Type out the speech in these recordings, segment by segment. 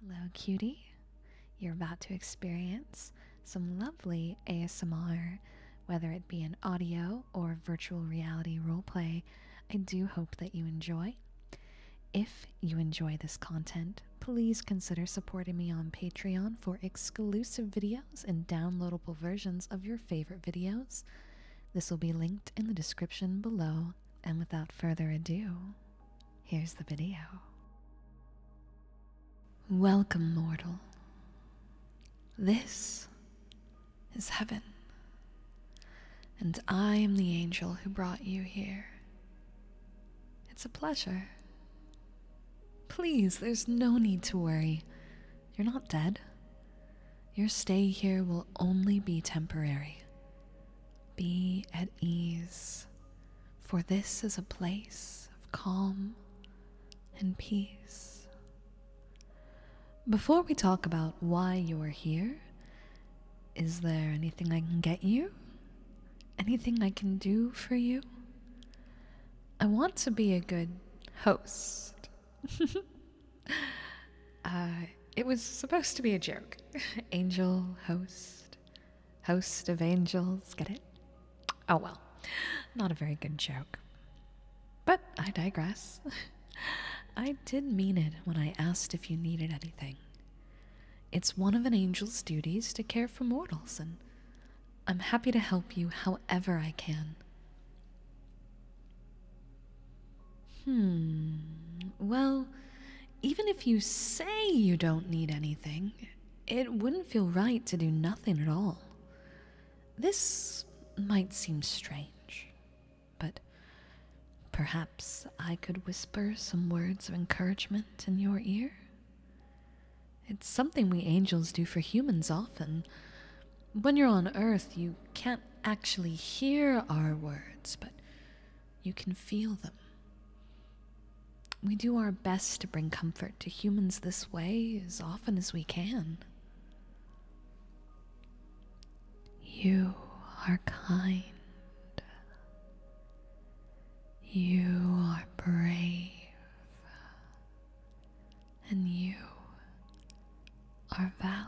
Hello, cutie. You're about to experience some lovely ASMR, whether it be an audio or virtual reality roleplay. I do hope that you enjoy. If you enjoy this content, please consider supporting me on Patreon for exclusive videos and downloadable versions of your favorite videos. This will be linked in the description below. And without further ado, Here's the video. Welcome, mortal. This is heaven, and I am the angel who brought you here. It's a pleasure. Please, there's no need to worry. You're not dead. Your stay here will only be temporary. Be at ease, for this is a place of calm and peace. Before we talk about why you are here, is there anything I can get you? Anything I can do for you? I want to be a good host. Uh, it was supposed to be a joke. Angel host host of angels. Get it? Oh well, not a very good joke. But I digress. I did mean it when I asked if you needed anything. It's one of an angel's duties to care for mortals, and I'm happy to help you however I can. Hmm. Well, even if you say you don't need anything, it wouldn't feel right to do nothing at all. This might seem strange, but perhaps I could whisper some words of encouragement in your ear? It's something we angels do for humans often. When you're on Earth, you can't actually hear our words, but you can feel them. We do our best to bring comfort to humans this way as often as we can. You are kind. You are brave. And you are valid.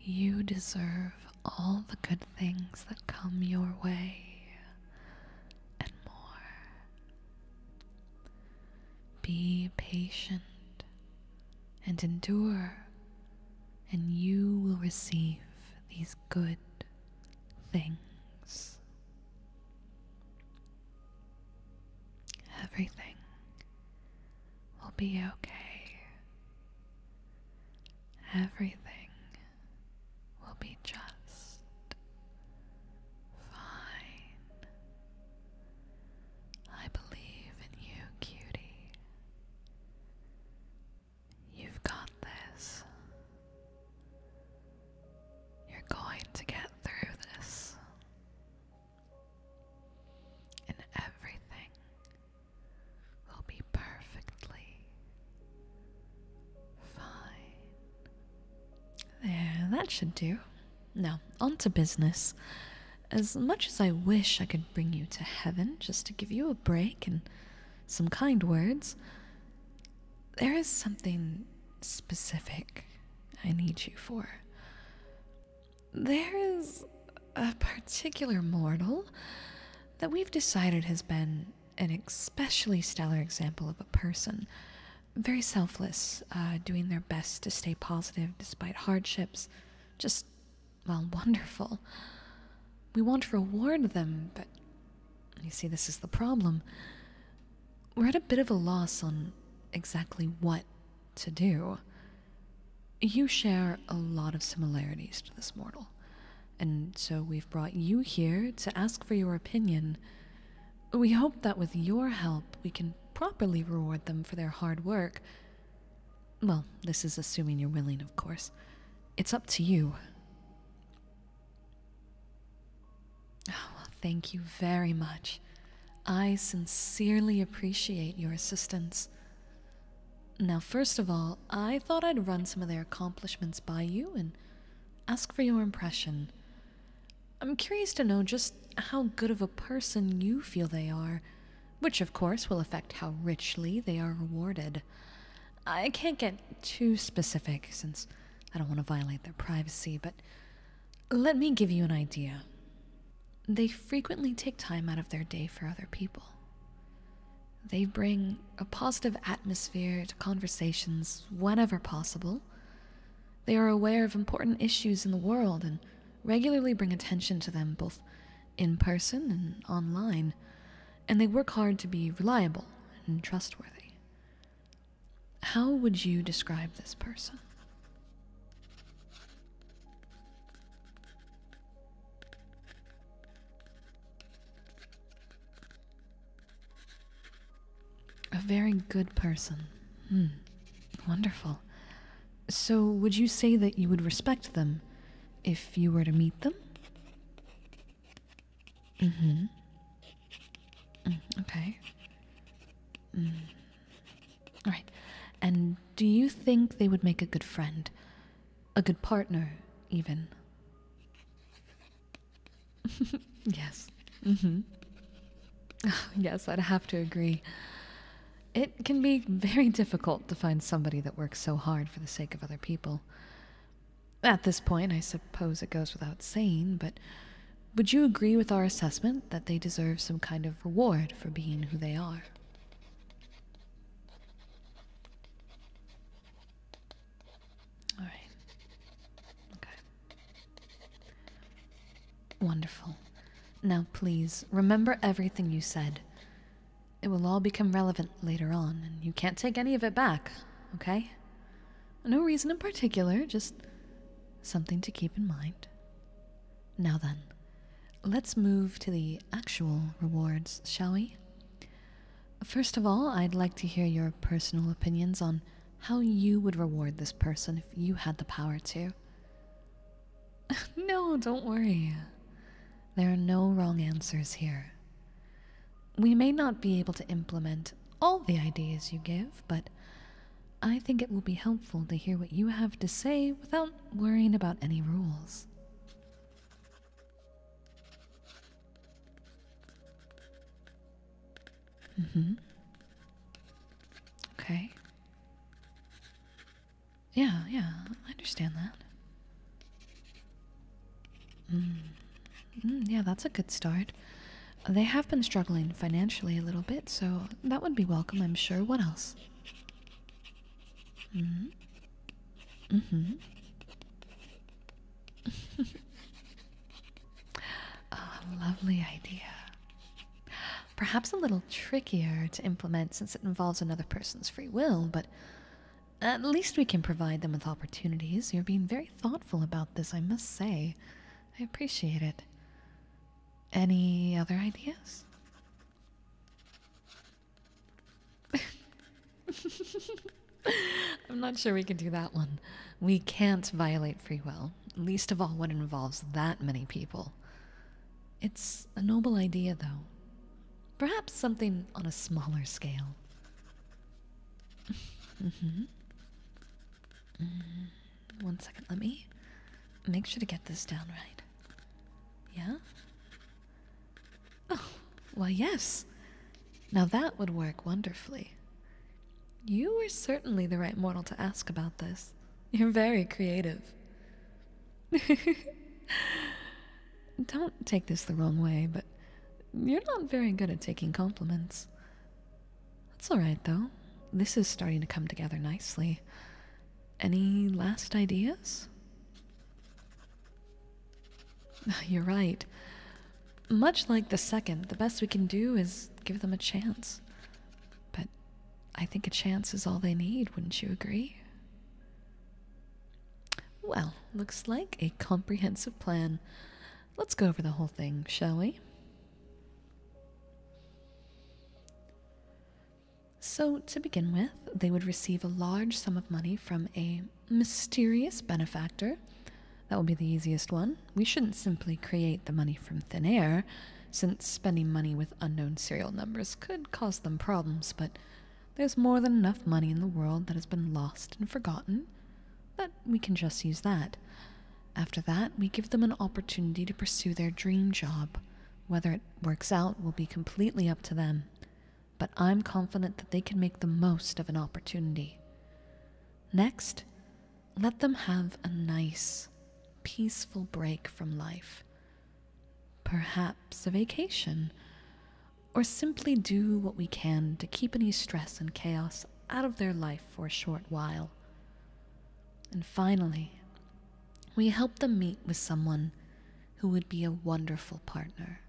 You deserve all the good things that come your way and more. Be patient and endure, and you will receive these good things. Everything we will be okay. Everything will be just fine. I believe in you, cutie. You've got this. You're going to get through this. And everything will be perfectly fine. There, that should do. Now, on to business. As much as I wish I could bring you to heaven just to give you a break and some kind words, there is something specific I need you for. There is a particular mortal that we've decided has been an especially stellar example of a person. Very selfless, uh, doing their best to stay positive despite hardships. Just, well, wonderful. We want to reward them, but you see, this is the problem. We're at a bit of a loss on exactly what to do. You share a lot of similarities to this mortal, and so we've brought you here to ask for your opinion. We hope that with your help, we can properly reward them for their hard work. Well, this is assuming you're willing, of course. It's up to you. Oh, well, thank you very much. I sincerely appreciate your assistance. Now, first of all, I thought I'd run some of their accomplishments by you and ask for your impression. I'm curious to know just how good of a person you feel they are, which of course will affect how richly they are rewarded. I can't get too specific since I don't want to violate their privacy, but let me give you an idea. They frequently take time out of their day for other people. They bring a positive atmosphere to conversations whenever possible. They are aware of important issues in the world and regularly bring attention to them both in person and online, and they work hard to be reliable and trustworthy. How would you describe this person? A very good person. Hmm. Wonderful. So, would you say that you would respect them if you were to meet them? Mm hmm. Mm, okay. Mm. All right. And do you think they would make a good friend? a good partner, even. yes. Mm-hmm. yes, I'd have to agree. It can be very difficult to find somebody that works so hard for the sake of other people. At this point, I suppose it goes without saying, but would you agree with our assessment that they deserve some kind of reward for being who they are? All right. Okay. Wonderful. Now, please, remember everything you said. It will all become relevant later on, and you can't take any of it back, okay? No reason in particular, just something to keep in mind. Now then, Let's move to the actual rewards, shall we? First of all, I'd like to hear your personal opinions on how you would reward this person if you had the power to. no, don't worry. There are no wrong answers here. We may not be able to implement all the ideas you give, but I think it will be helpful to hear what you have to say without worrying about any rules. Mm-hmm. Okay. Yeah, yeah, I understand that. Mm. Mm, yeah, that's a good start. They have been struggling financially a little bit, so that would be welcome, I'm sure. What else? Mm Mm hmm. oh, lovely idea. Perhaps a little trickier to implement since it involves another person's free will, but at least we can provide them with opportunities. You're being very thoughtful about this, I must say. I appreciate it. Any other ideas? I'm not sure we can do that one. We can't violate free will, least of all when it involves that many people. It's a noble idea, though. Perhaps something on a smaller scale. Mm-hmm. Mm-hmm. one second, let me make sure to get this down right. Yeah? Oh, well, yes. Now that would work wonderfully. You were certainly the right mortal to ask about this. You're very creative. Don't take this the wrong way, but you're not very good at taking compliments. That's alright, though. This is starting to come together nicely. Any last ideas? You're right. Much like the second, the best we can do is give them a chance. But I think a chance is all they need, wouldn't you agree? Well, looks like a comprehensive plan. Let's go over the whole thing, shall we? So, to begin with, they would receive a large sum of money from a mysterious benefactor. That would be the easiest one. We shouldn't simply create the money from thin air, since spending money with unknown serial numbers could cause them problems, but there's more than enough money in the world that has been lost and forgotten that we can just use that. After that, we give them an opportunity to pursue their dream job. Whether it works out will be completely up to them but I'm confident that they can make the most of an opportunity. Next, let them have a nice, peaceful break from life. Perhaps a vacation, or simply do what we can to keep any stress and chaos out of their life for a short while. And finally, we helped them meet with someone who would be a wonderful partner.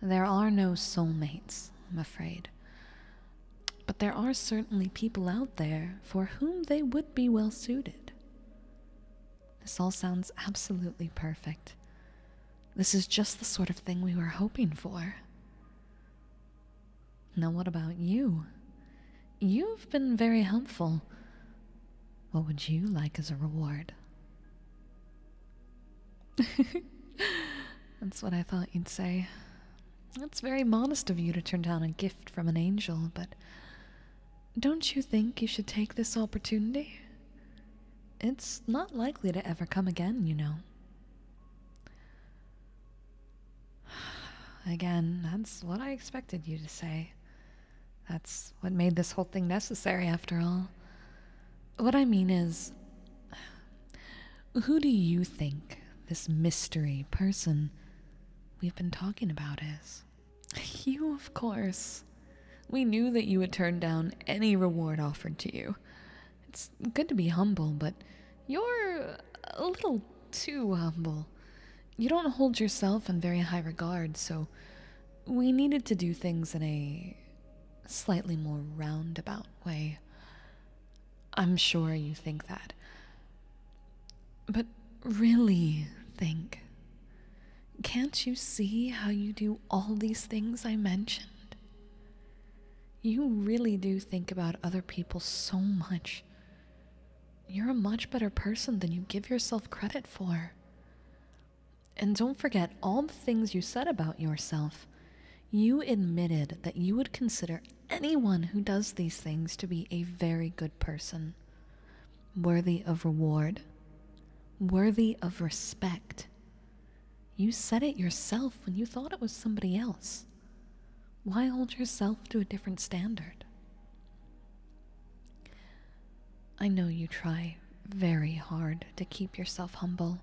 There are no soulmates, I'm afraid. But there are certainly people out there for whom they would be well suited. This all sounds absolutely perfect. This is just the sort of thing we were hoping for. Now, what about you? You've been very helpful. What would you like as a reward? That's what I thought you'd say. It's very modest of you to turn down a gift from an angel, but don't you think you should take this opportunity? It's not likely to ever come again, you know. Again, that's what I expected you to say. That's what made this whole thing necessary, after all. What I mean is, who do you think this mystery person we've been talking about is? You, of course. We knew that you would turn down any reward offered to you. It's good to be humble, but you're a little too humble. You don't hold yourself in very high regard, so we needed to do things in a slightly more roundabout way. I'm sure you think that. But really think. Can't you see how you do all these things I mentioned? You really do think about other people so much. You're a much better person than you give yourself credit for. And don't forget all the things you said about yourself. You admitted that you would consider anyone who does these things to be a very good person, worthy of reward, worthy of respect. You said it yourself when you thought it was somebody else. Why hold yourself to a different standard? I know you try very hard to keep yourself humble,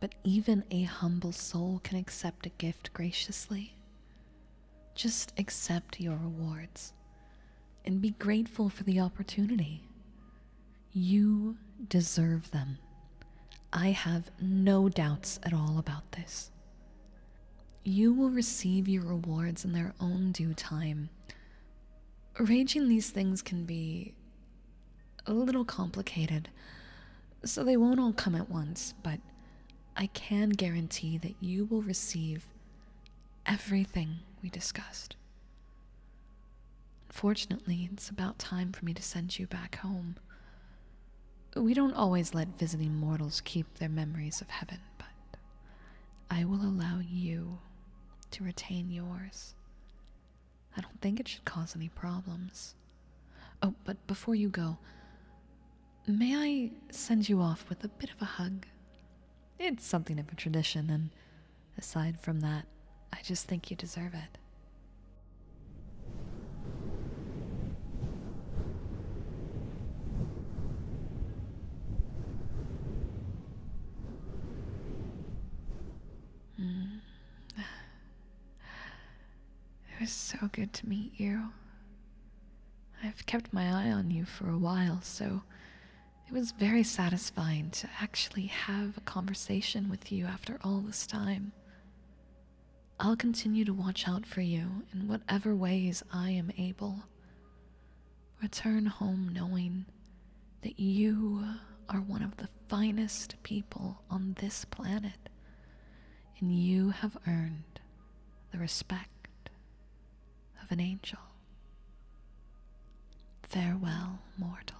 but even a humble soul can accept a gift graciously. Just accept your rewards and be grateful for the opportunity. You deserve them. I have no doubts at all about this. You will receive your rewards in their own due time, Arranging these things can be a little complicated, so they won't all come at once, but I can guarantee that you will receive everything we discussed. Unfortunately, it's about time for me to send you back home. We don't always let visiting mortals keep their memories of heaven, but I will allow you to retain yours. I don't think it should cause any problems. Oh, but before you go, may I send you off with a bit of a hug? It's something of a tradition, and aside from that, I just think you deserve it. Mm. It was so good to meet you. I've kept my eye on you for a while, so it was very satisfying to actually have a conversation with you after all this time. I'll continue to watch out for you in whatever ways I am able. Return home knowing that you are one of the finest people on this planet, and you have earned the respect of an angel. Farewell, mortal.